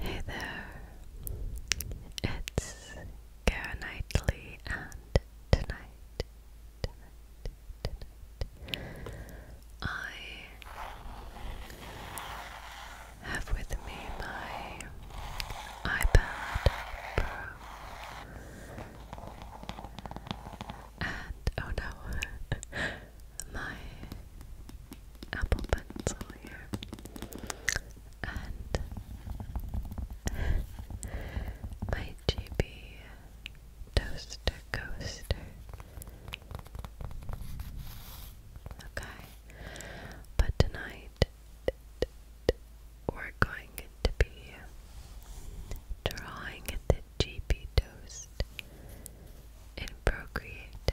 Hey there, it's Kara Knightley, and tonight, I have with me my iPad Pro, and oh no, my Apple Pencil here, and my GB Toaster Coaster. Okay, but tonight we're going to be drawing the GB Toaster in Procreate.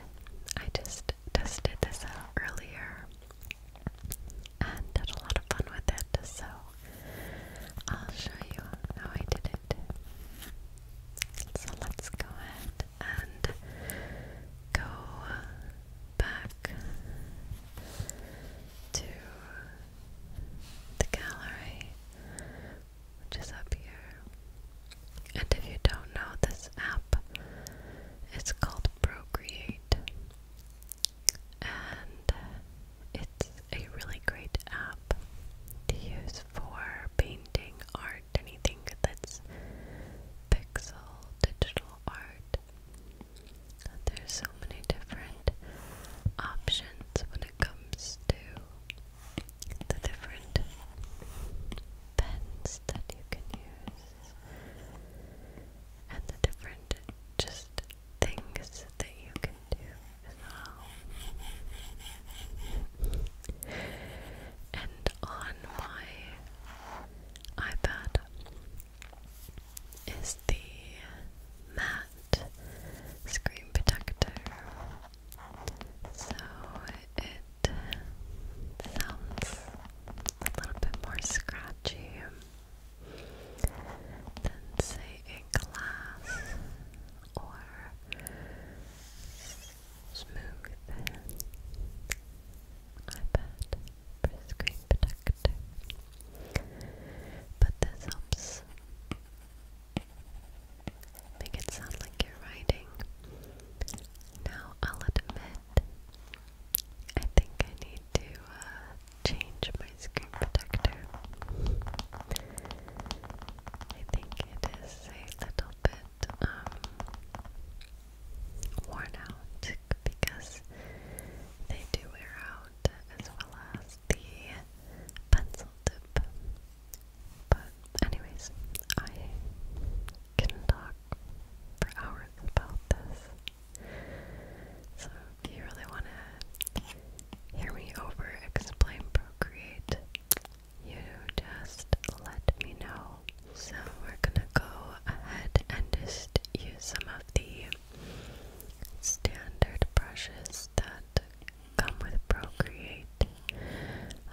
I just tested this out earlier and had a lot of fun with it, so I'll show you how I did it. So let's go ahead and go back to the gallery which is up here. And if you don't know this app, it's called Procreate. And uh, it's a really great app to use for painting art, anything that's pixel digital art. There's so many different options when it comes to the different pens that you can use and the different just things that you can do And on my iPad is the matte screen protector so it sounds a little bit more scratchy than, say, a glass or smooth iPad screen protector. But this helps Make it sound like you're writing. Now, I'll admit, I think I need to uh, change my screen protector. I think it is a little bit um, worn out because they do wear out as well as the pencil tip. But anyways, I can talk for hours about this. So if you really want to hear me over explain Procreate, you just let me know. So we're gonna go ahead and just use some of the standard brushes that come with Procreate,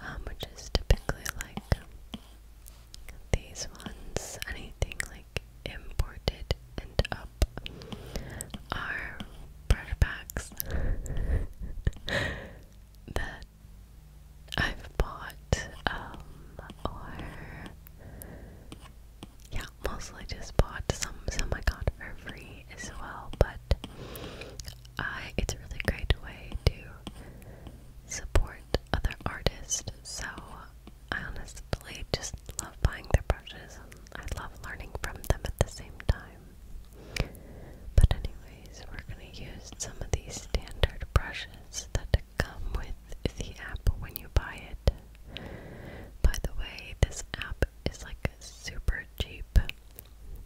um, which is typically like these ones. Anything like imported and up are barter packs that I've bought, um, yeah, mostly just bought some. Some I got for free as well, but I it's a really great way to support other artists. So I honestly just love buying their brushes I love learning from them at the same time. But anyways, we're gonna use some of these standard brushes that come with the app when you buy it. By the way, this app is like super cheap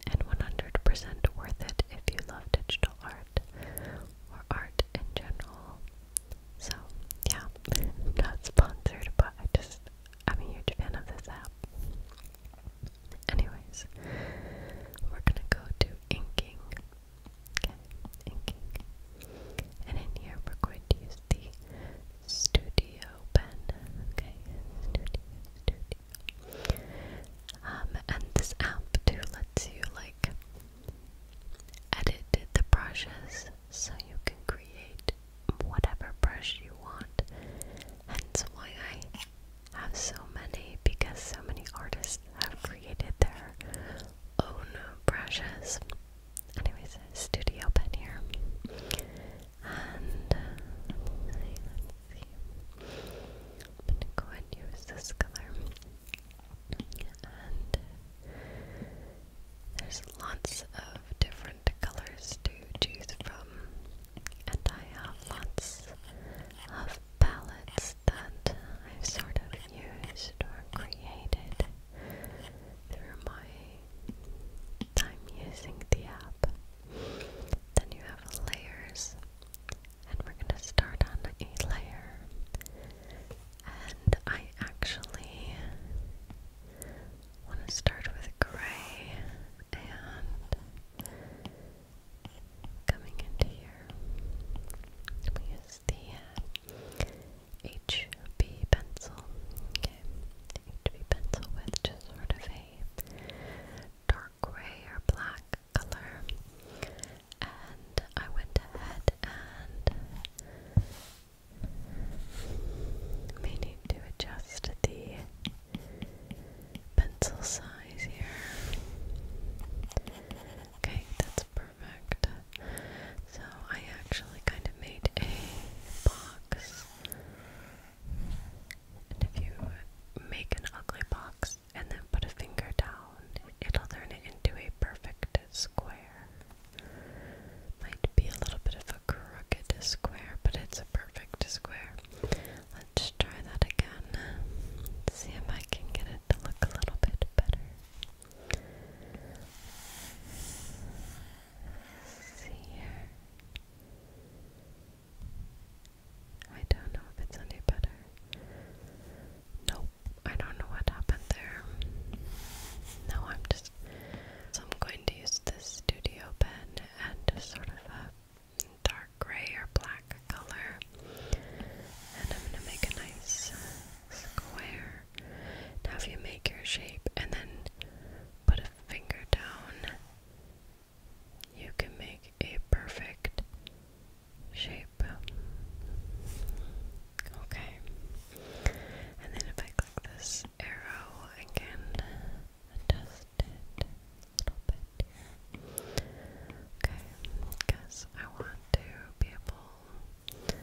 and 100% worth it if you love digital art or art in general. So, yeah, not sponsored, but I just, I'm a huge fan of this app. Anyways, we're gonna go to inking. Okay, inking. And in here, we're going to use the studio pen. Okay, studio, studio. Um, and this app too lets you like edit the brushes so you can create whatever brush you want. Hence why I have so many because so many artists have created their own brushes. Anyways, studio pen here. And uh, let's see. I'm gonna go ahead and use this color. And there's lots of different colors to choose from, and I have lots of palettes that I've sort of used or created through my time using the app. Then you have layers, and we're going to start on a layer. And I actually want to start with gray and coming into here, we use the HB uh, pencil. Okay, HB pencil with just sort of a dark grey or black color. And I went ahead and may need to adjust the pencil size here. Okay, that's perfect. So I actually kind of made a box if you make an ugly box and then put a finger down, it'll turn it into a perfect square. Might be a little bit of a crooked square, but it's a perfect square. Let's try that again. See if I can get it to look a little bit better. here. I don't know if it's any better. Nope, I don't know what happened there. No, I'm just. So I'm going to use this studio pen and sort of a dark gray or black color. And I'm going to make a nice uh, square. Now, if you make your shape and then put a finger down you can make a perfect shape. Okay. And then if I click this arrow again, adjust it a little bit Okay, because I want to be able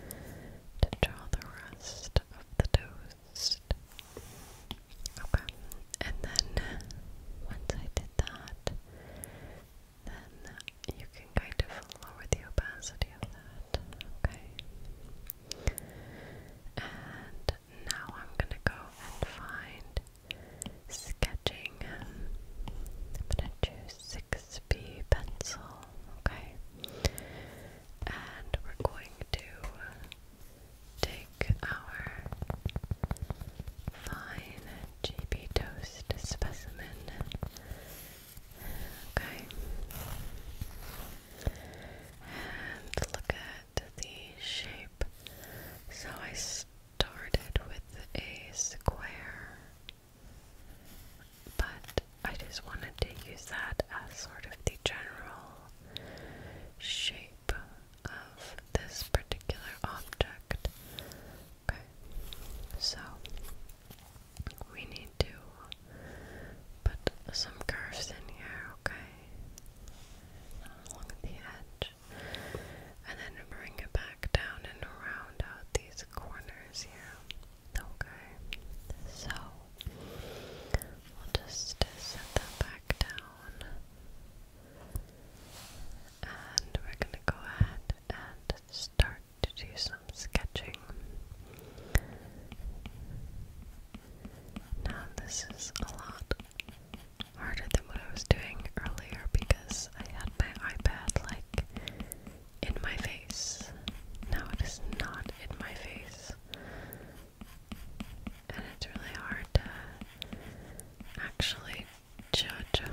to draw the rest of the toast. Okay, and then uh, once I did that, then you can kind of lower the opacity of that, okay? And now I'm gonna go and find sketching. I'm gonna choose 6B pencil, okay? And we're going to take our fine GB toast specimen. Okay. And look at the shape. So I started with a square, but I just wanted to use that as sort of the general shape of this particular object. Okay, so we need to put some curves in here, okay? Along the edge. And then bring it back down and round out these corners here. Okay, so we'll just set that back down. And we're going to go ahead and start to do some sketching. Now, this is a lot harder than what I was doing earlier because I had my iPad like in my face. Now it is not in my face and it's really hard to actually judge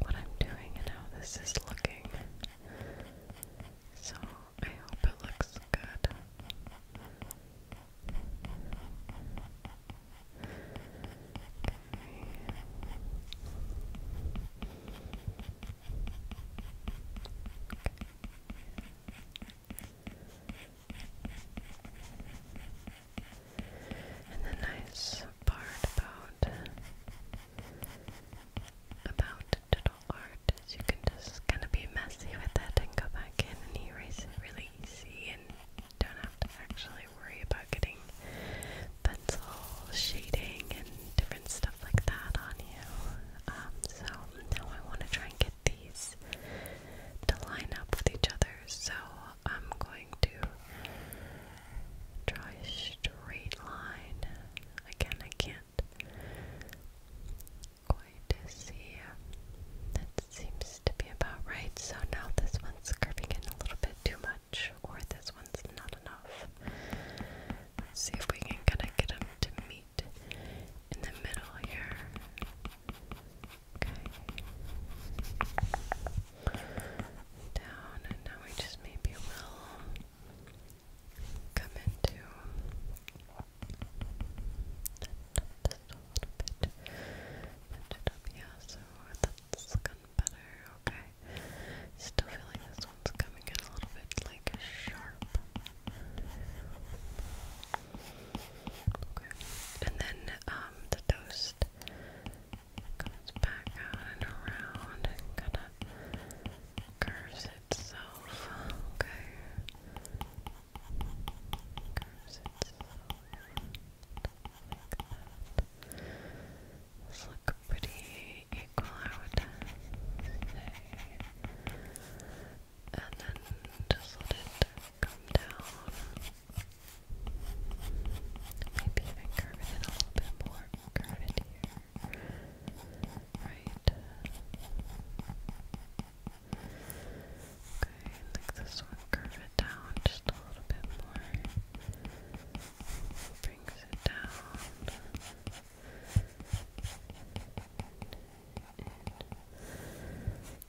what I'm doing and how this is looking. So I hope it looks good. And the nice part about about digital art is you can just kind of be messy with it and go back in and erase it really easy and don't have to actually worry about getting pencil shading and different stuff like that on you. Um, so I want to try and get these to line up with each other. So I'm going to draw a straight line. Again, I can't quite see. That seems to be about right. So now this one's curving in a little bit too much, or this one's not enough. Let's see if we can kind of get them to meet in the middle here. Okay. Down, and now we just maybe will come into a little bit. yeah, so that's looking better, okay. Still feel this one's coming in a little bit like sharp. Okay. And then um, the toast comes back out and around kinda curves itself. Okay. Curves itself like pretty equal I would say and then just let it come down. Maybe even curve it a little bit more. Curve it here. Right. Okay, like this one, curve it down just a little bit more. Brings it down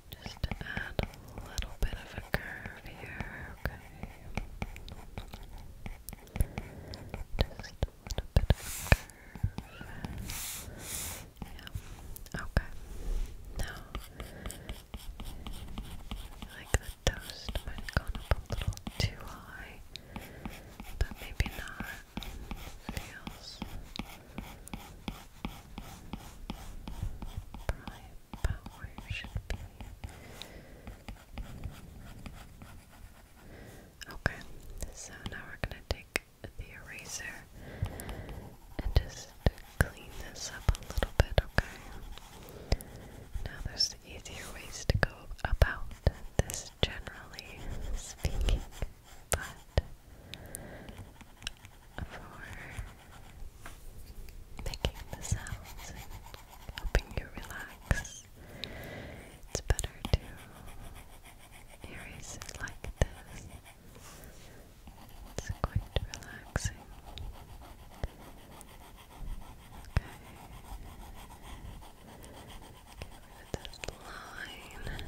just add a little bit of a curve here, okay? Just a little bit of curve. Yeah. Okay. Now, like the toast might have gone up a little too high, but maybe not. Feels Prime power should be. Okay, so now we're gonna take the eraser and just clean this up a little bit, okay? Now there's easier ways to go about this generally speaking but for making the sounds helping you relax, it's better to erase it like this. It's quite relaxing. Okay. Get rid this line.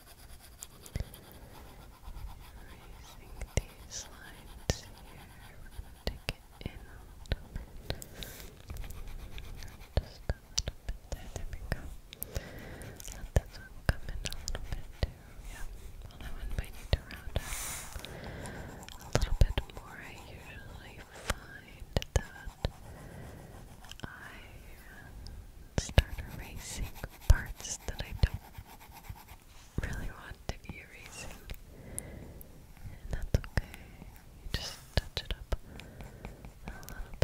Raising these lines here, we it in a little bit. Just a little bit there, there we go. Let this one come in a little bit too, yeah. that one might need to round up a little bit more. I usually find that I start erasing parts that I don't really want to be erasing, and that's okay. You just touch it up a little bit.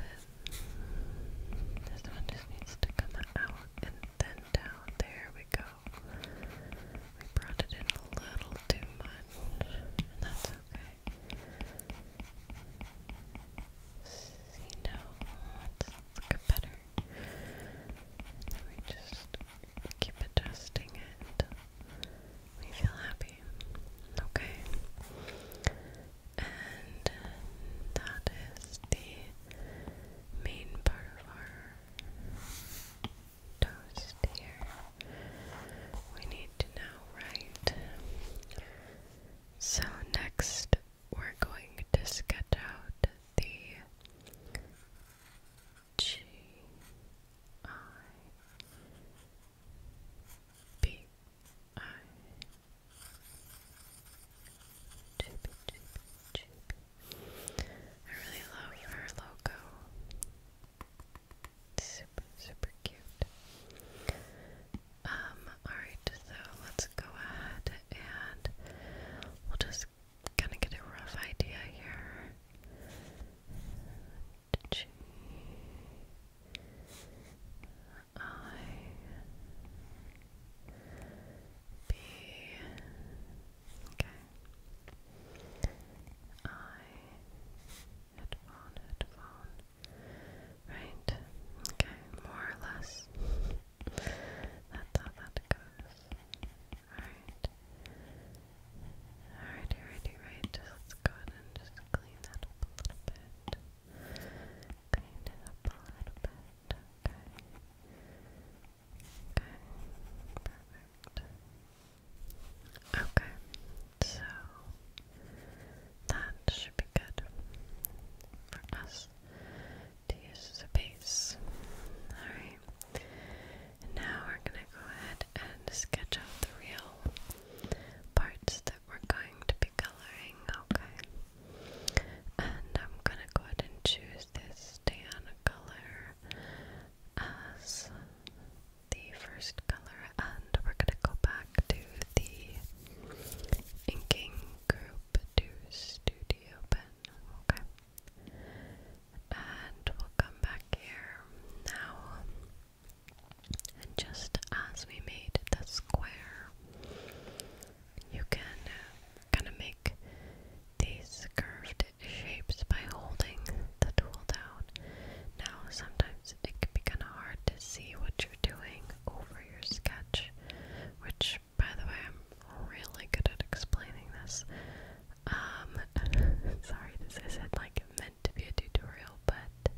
This one just needs to come out and then down. There we go. We brought it in a little too much, and that's okay. See now, let's better. And then just keep adjusting it we feel happy. Okay. And uh, that is the main part of our toast here. We need to now write. So next we're going to sketch out the G I B I really love her logo. It's super, super cute. Um, alright, so let's go ahead and we'll just kind of get a rough idea here. G I B okay I headphone headphone right okay more or less that's how that goes. Alright. Alrighty, righty, right. let's go ahead and just clean that up a little bit. Clean it up a little bit. Okay. Okay. Perfect. Okay. So that should be good for us to use as a base. Alright. now we're going to go ahead and sketch out the real parts that we're going to be coloring, okay? And I'm going to go ahead and choose this tan color as the first color, and we're going to go back to the inking group to studio okay. And we'll come back here now. And just as we made the square, you can uh, kind of make these curved shapes by holding the tool down. Now, sometimes it can be kind of hard to see what you're doing over your sketch, which by the way, I'm really good at explaining this. Um, sorry, this is like meant to be a tutorial, but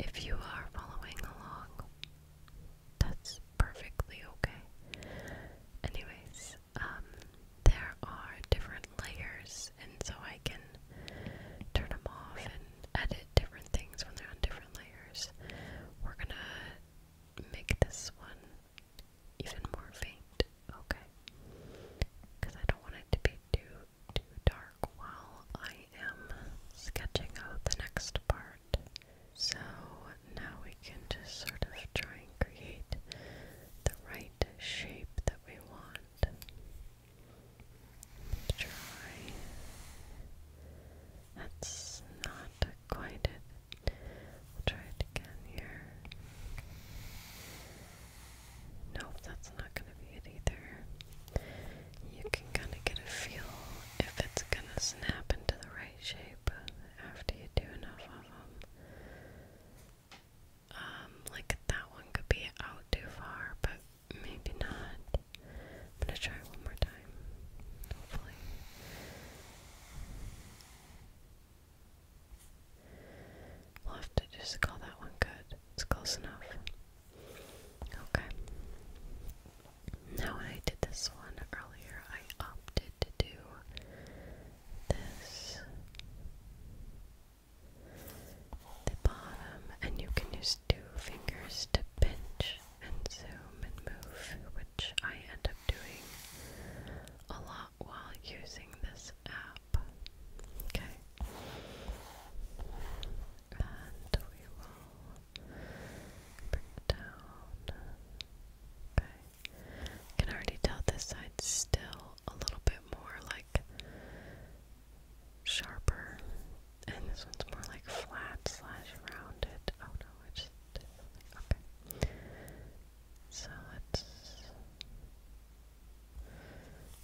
if you are following along, that's perfectly okay. Anyways, um, there are different layers, and so I can turn them off and edit different things when they're on different layers. We're gonna make this one even more faint, okay? Because I don't want it to be too too dark while I am sketching out the next part. So now we can just sort of try and create the right shape that we want. Try that's not quite it. try it again here. Nope, that's not gonna be it either. You can kind of get a feel if it's gonna snap into the right shape after you do enough of them. Um, like that one could be out too far, but maybe not. I'm gonna try one more time. Hopefully. We'll have to just call that one good. It's close enough. Okay. Now, when I did this one earlier, I opted to do this. The bottom, and you can use two fingers to pinch and zoom and move, which I end up doing a lot while using this app. Okay. And we will bring it down. Okay. Can already tell this side's still a little bit more like sharper. And this one's more like flat slash rounded. Oh no, I Okay. So let's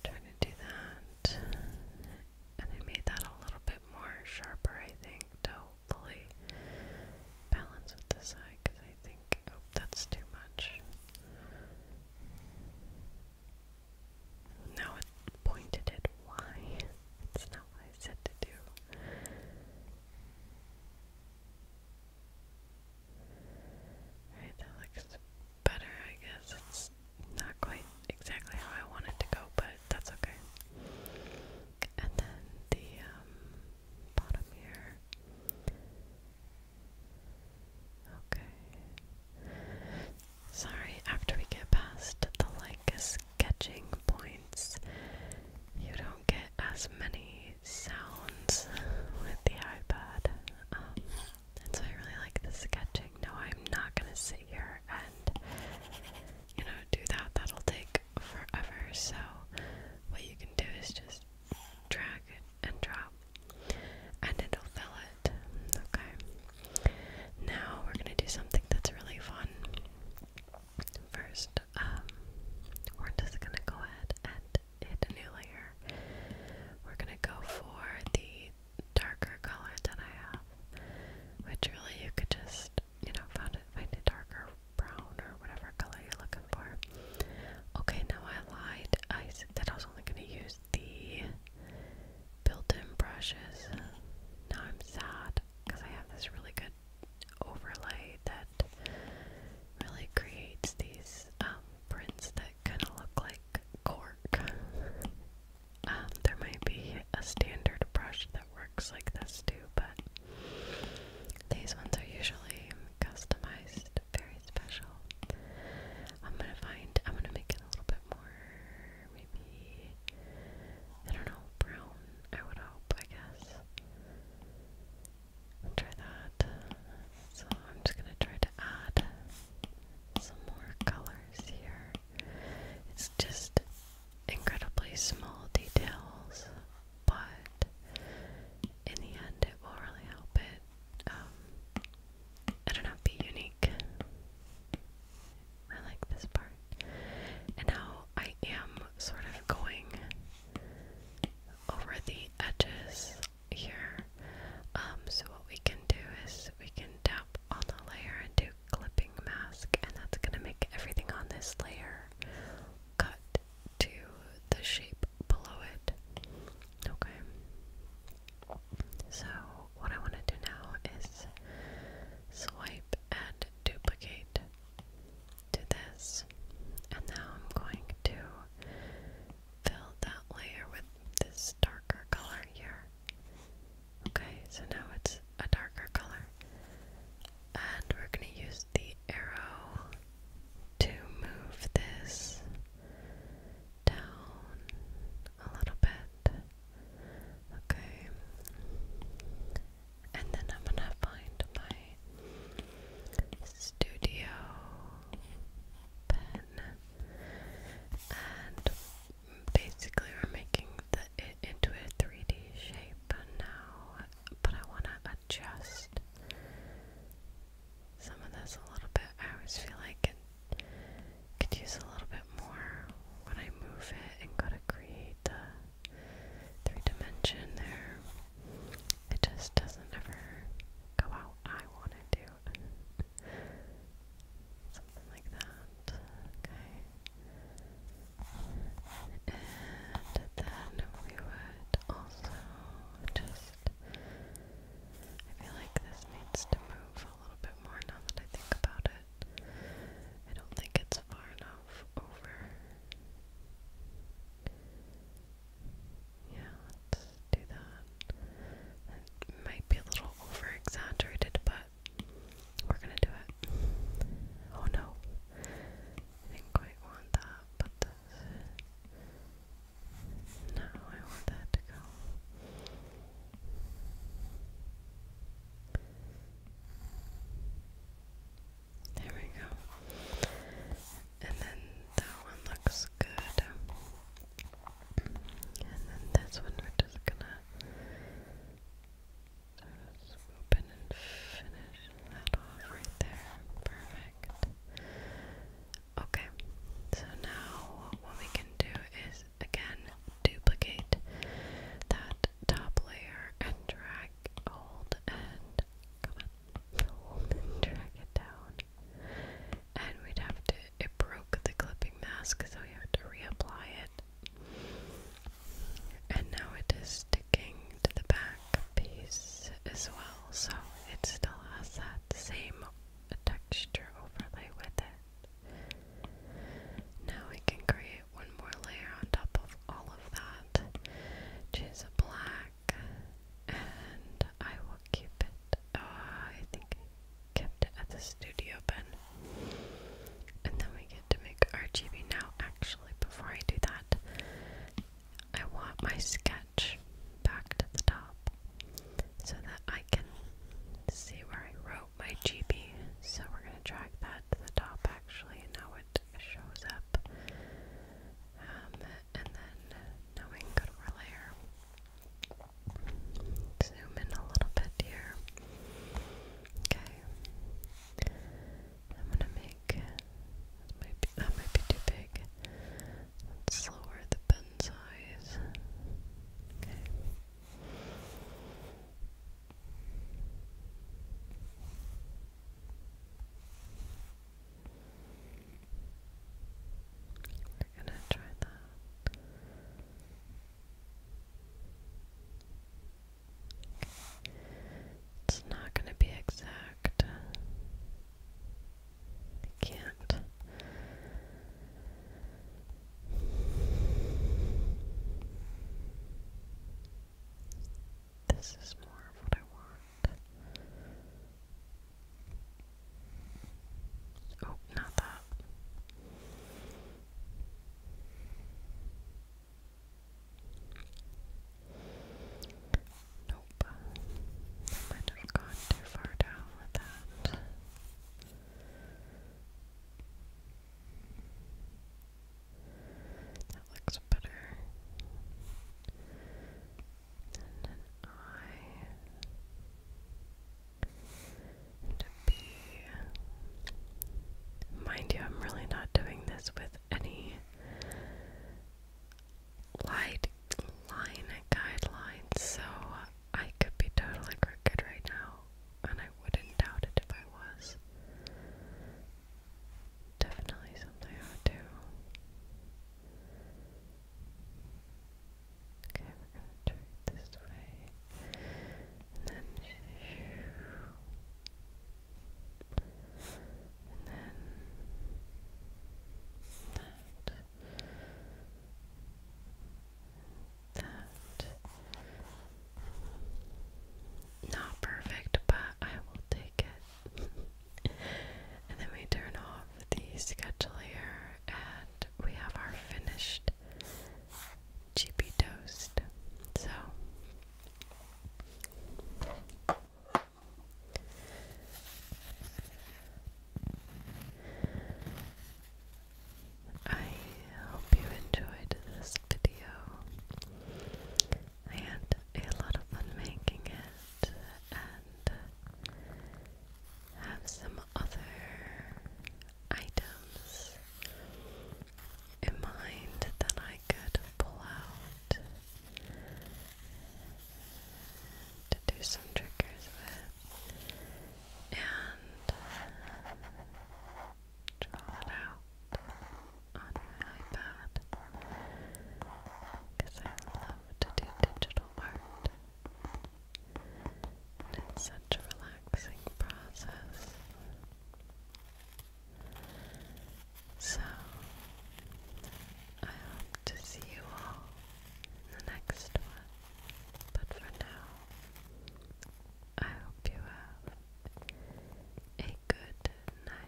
try to do that. And I made that a little bit more sharper, I think, hopefully balance with the side, because I think, oh, that's too much. Now it pointed it. Why? I said to do. Alright, that looks better, I guess. It's not quite exactly how I want it to go, but that's okay. And then the um, bottom here. Okay. Sorry, after we get past the like sketching points. You don't get as many sounds with the iPad. Um, and so I really like the sketching. No, I'm not gonna sit here and you know do that. That'll take forever. So what you can do is just drag it and drop, and it'll fill it. Okay. Now we're gonna do something that's really fun. First, um, we're just gonna go ahead and hit a new layer. We're gonna go for the darker color that I have, which really you could just, you know, find it, find a darker brown or whatever color you're looking for. Okay, now I lied. I said that I was only gonna use the built-in brushes. Now I'm sad because I have this really good overlay that really creates these um, prints that kind of look like cork. Um, there might be a standard brush that works like this too, but these ones are usually customized, very special. I'm gonna find, I'm gonna make it a little bit more maybe I don't know, brown, I would hope, I guess. try that. So I'm just gonna try to add some more colors here. It's just incredibly small details, but in the end it will really help it um, I don't know, be unique. I like this part. And now I am sort of going over the edges here. Um, so what we can do is we can tap on the layer and do clipping mask, and that's gonna make everything on this layer cut to the shape below it. Okay. So what I want to do now is swipe and duplicate to this. And now I'm going to fill that layer with this darker color here. Okay, so now it's a darker color. And we're going to use the arrow to move this down a little bit. Okay. And then I'm gonna find my studio pen. And basically we're making it into a 3D shape now. But I wanna adjust some of this a little bit. I always feel like it could use a little bit more when I move it and go to create the three dimension there. It just doesn't ever go out. I want it to. Something like that. Okay. And then we would also just. I feel like this needs to move a little bit more now that I think about it but I don't think it's far enough over. Yeah, let's do that. It might be a little over but we're gonna do it. Oh no. didn't quite want that, but No, I want that to go. There we go. And then that one looks good. And then this one we're just gonna sort of swoop in and finish that off right there. Perfect. Okay, so now what we can do is again duplicate that top layer and drag, hold and come on, drag it down. And we'd have to, it broke the clipping mask, so we have to reapply it. And now it is sticking to the back piece as well, so it still has that same texture overlay with it. Now we can create one more layer on top of all of that. Choose a black, and I will keep it. Uh, I think kept it at the studio pen. And then we get to make RGB now. Actually, before I do that, I want my sketch back to the top so that I can see where I wrote my GP. so we're going to drag that to the top actually, and now it shows up. Um, and then now we can go to our layer. Zoom in a little bit here. Okay. I'm going to make. That that might be too big. lower the pen size. Okay. We're gonna try that. It's not gonna be exact. can't this is more of what I want. Oh, not that. Nope. I might have gone too far down with that. That looks better. an I. And a B. Mind you, I'm really not doing this with any light line guidelines, so I could be totally crooked right now and I wouldn't doubt it if I was. Definitely something I would do. Okay, we're gonna turn it this way. And then and then that. Not perfect, but I will take it. and then we turn off the sketch layer and we have our finished cheapy toast. So I hope you enjoyed this video. I a lot of fun making it and have some other items in mind that I could pull out to do some triggers with. And drawn out on my iPad because I love to do digital art. And it's such a relaxing process. So, I hope to see you all in the next one. But for now, I hope you have a good night.